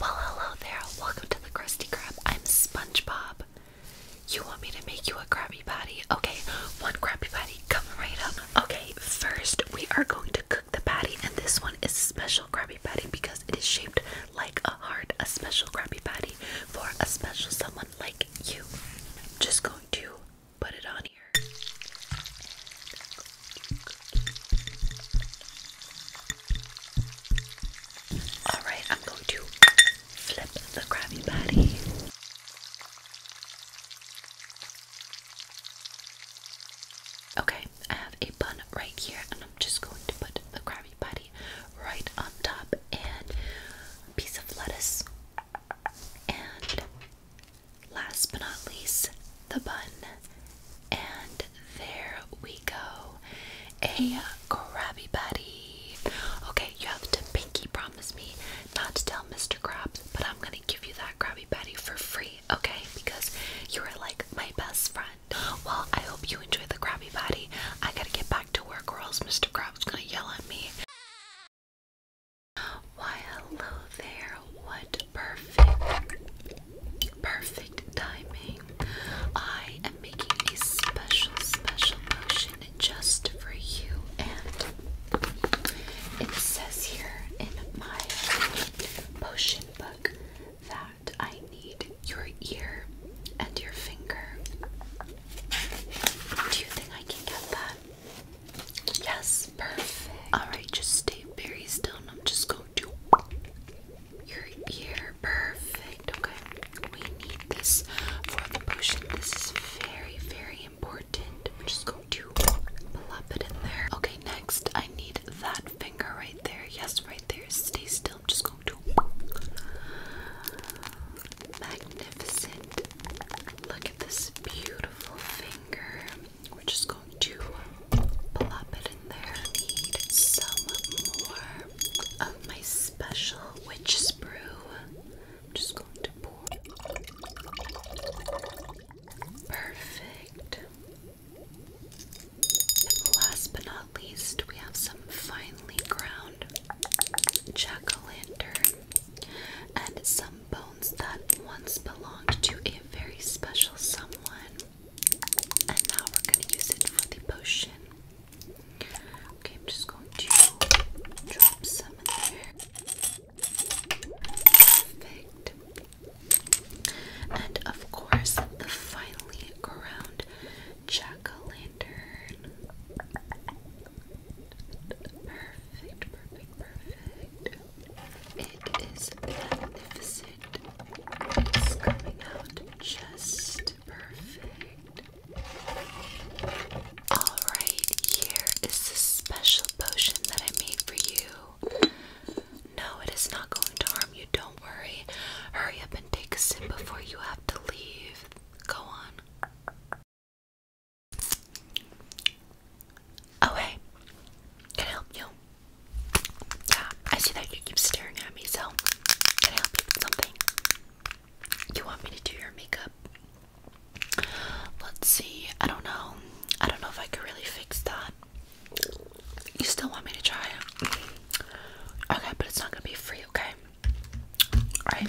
Well, hello there. Welcome to the Krusty Krab. I'm SpongeBob. You want me to make you a Krabby Patty? Okay, one Krabby Patty coming right up. Okay, first we are going to cook the patty, and this one is a special Krabby Patty because it is shaped like a heart. A special Krabby Patty for a special someone like you. Just going to put it on here. Alright, I'm going to flip the Krabby Patty. Okay, I have a bun right here, and I'm just going to put the Krabby Patty right on top and piece of lettuce and last but not least, the bun. And there we go. A Krabby Patty. Okay, you have to pinky promise me not to tell Mr. Krabs, but I'm gonna give you that Krabby Patty for free, okay? Because you are like my best friend. Well, I hope you enjoy the Krabby Patty. I gotta get back to work, girls. else Mr. Krabs gonna yell at me. Why, hello there. What perfect, perfect timing. I am making a special, special potion just for you. And it says here in my potion book that I need your ear and your finger. Do you think I can get that? Yes, perfect. Alright, just stay very still I'm just going to your ear. Perfect. Okay. We need this for the potion. This is very, very important. I'm just going to plop it in there. Okay, next I need that finger right there. Yes, right there. Stay still. Just go. Magnificent. Look at this beautiful finger. We're just going to plop it in there. need some more of my special witch sprue. just going to pour. Perfect. last but not not least, we have some finely ground jack o' lantern and some bones that once belonged to a very special someone. And now we're going to use it for the potion. Okay, I'm just going to drop some in there. Perfect. And of course, the finely ground jack lantern. Perfect, perfect, perfect. It is magnificent. It's coming out just perfect. Alright, here is this special potion that I made for you. No, it is not going to harm you. Don't don't worry. Hurry up and take a sip before you have to leave. Go on. Oh, hey. Can I help you? Yeah, I see that you keep staring at me, so can I help you with something? You want me to do your makeup? Let's see. I don't know. I don't know if I could really fix that. You still want me to try it? Okay, but it's not gonna be free, okay? Alright.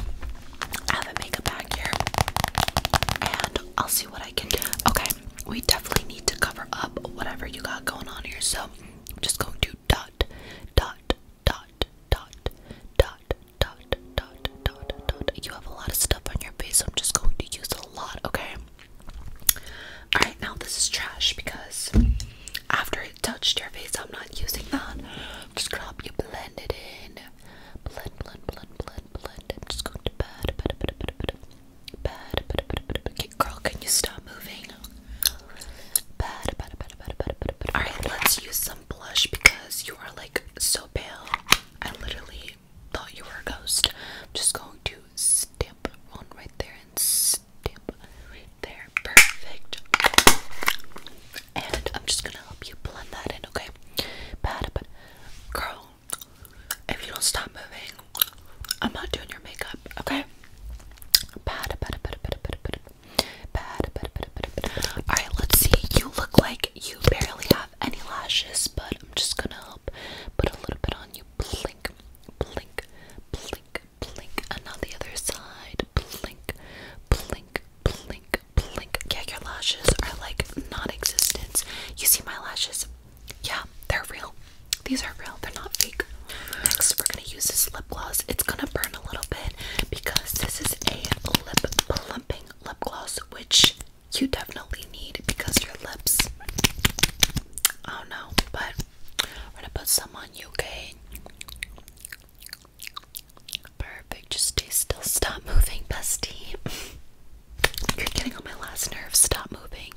I have a makeup bag here. And I'll see what I can do. Okay, we definitely need to cover up whatever you got going on here. So I'm just going to dot, dot, dot, dot, dot, dot, dot, dot, dot. You have a lot of stuff on your face, so I'm just going to use a lot, okay? Alright, now this is trash because after it touched your face, I'm not using that. just gonna help you blend it in. Blend, blend, blend, blend, blend. just going to bed, bed, bed, bed, bed, bed, bed, bed, bed, bed. Okay, girl, can you stop moving? Bed, bed, bed, bed, bed, bed, bed. Alright, let's use some blush because you are like so pale. I literally thought you were a ghost. just going to to stamp one right there and stamp right there. Perfect. And I'm just gonna help you blend that in, okay? Bad, but girl, if you don't stop moving, I'm not doing your makeup, okay? Bad, bad, bad, bad, bad, bad, bad, bad, bad, bad. All right, let's see. You look like you barely have any lashes, but I'm just gonna up, put a little bit on you, blink, blink, blink, blink, and on the other side, blink, blink, blink, blink. Yeah, your lashes are like non-existent. You see my lashes? Yeah, they're real. These are real, they're not fake. Next, we're gonna use this lip gloss. It's gonna burn a little bit because this is a lip plumping lip gloss, which you definitely need because your lips I don't know, but we're gonna put some on you, okay? Perfect, just stay still. Stop moving, bestie. You're getting on my last nerve. Stop moving.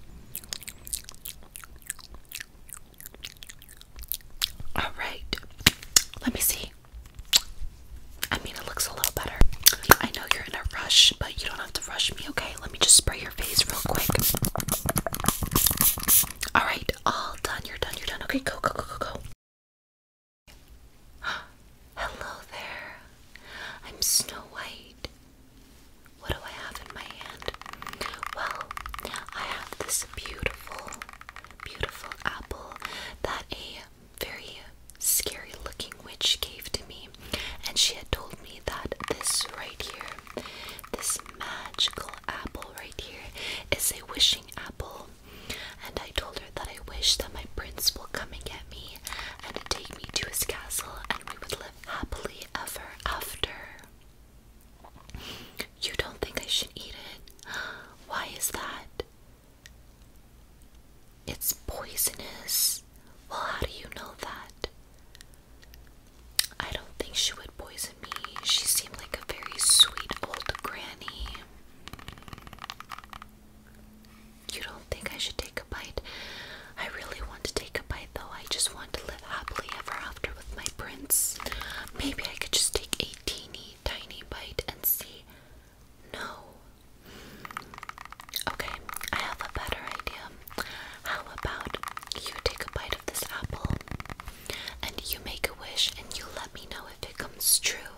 Alright, let me see. I mean, it looks a little better. I know you're in a rush, but you don't have to rush me, okay? Let me just spray your face real quick. Alright, all done. You're done. You're done. Okay, go, go, go, go, go. Hello there. I'm Snow White. What do I have in my hand? Well, I have this beautiful, beautiful apple that a very scary looking witch gave to me, and she had told me that this right here, this magical apple right here, is a wishing apple. And I told her that I wish that my prince will come and get me and take me to his castle, and we would live happily ever after. You don't think I should eat it? Why is that? It's poisonous. Well, how do you know that? I don't think she would poison me. She seemed like a very sweet old granny. You don't think I should take a bite? I really want to take a bite though. I just want to live happily ever after with my prince. Maybe I could just take a teeny tiny bite and see no. Okay, I have a better idea. How about you take a bite of this apple and you make a wish and you let me know if it comes true.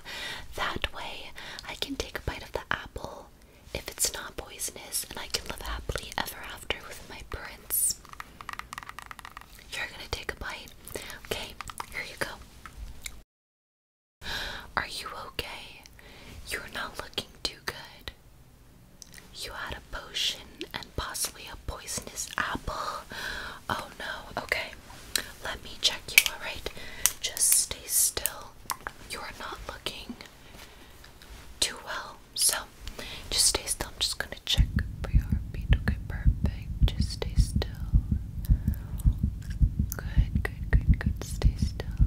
That way, I can take a bite of the apple if it's not poisonous and I can live happily ever after with my prince. You're gonna take a bite. Okay, here you go. Are you okay? You're not looking too good. You had a potion and possibly a poisonous apple. Oh no, okay. Let me check you, alright? Just stay still. You are not looking too well. So just stay still. I'm just gonna check for your heartbeat. Okay, perfect. Just stay still. Good, good, good, good. Stay still.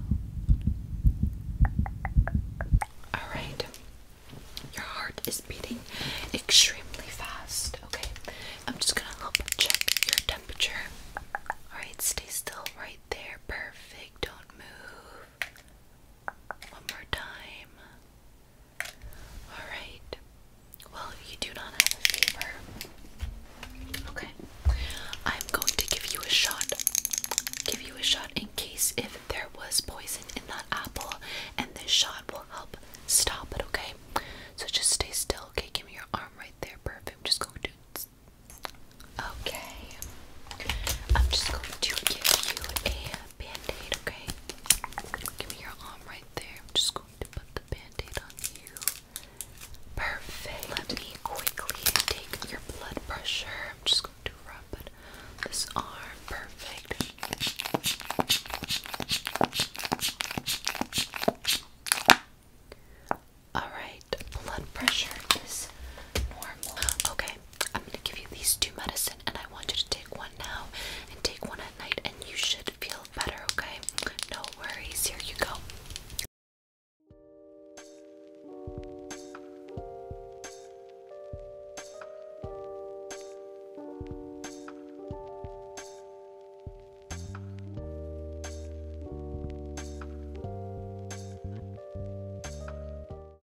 Alright. Your heart is beating extremely fast. Okay. I'm just gonna help check your temperature. Alright, stay still right there. Perfect. Don't move. One more time. Alright. Well, you do not have a fever. Okay. I'm going to give you a shot. Give you a shot in case if there was poison in that apple, and this shot will help stop it, okay? So just stay still, okay? Give me your arm right there. Perfect. I'm just going to. Okay. I'm just going to give you a band-aid, okay? Give me your arm right there. I'm just going to put the band-aid on you. Perfect. Let me quickly take your blood pressure. I'm just going to rub it this arm. Perfect. Alright, blood pressure is normal. Okay, I'm gonna give you these two medicine, and I want you to take one now and take one at night, and you should feel better, okay? No worries. Here you go.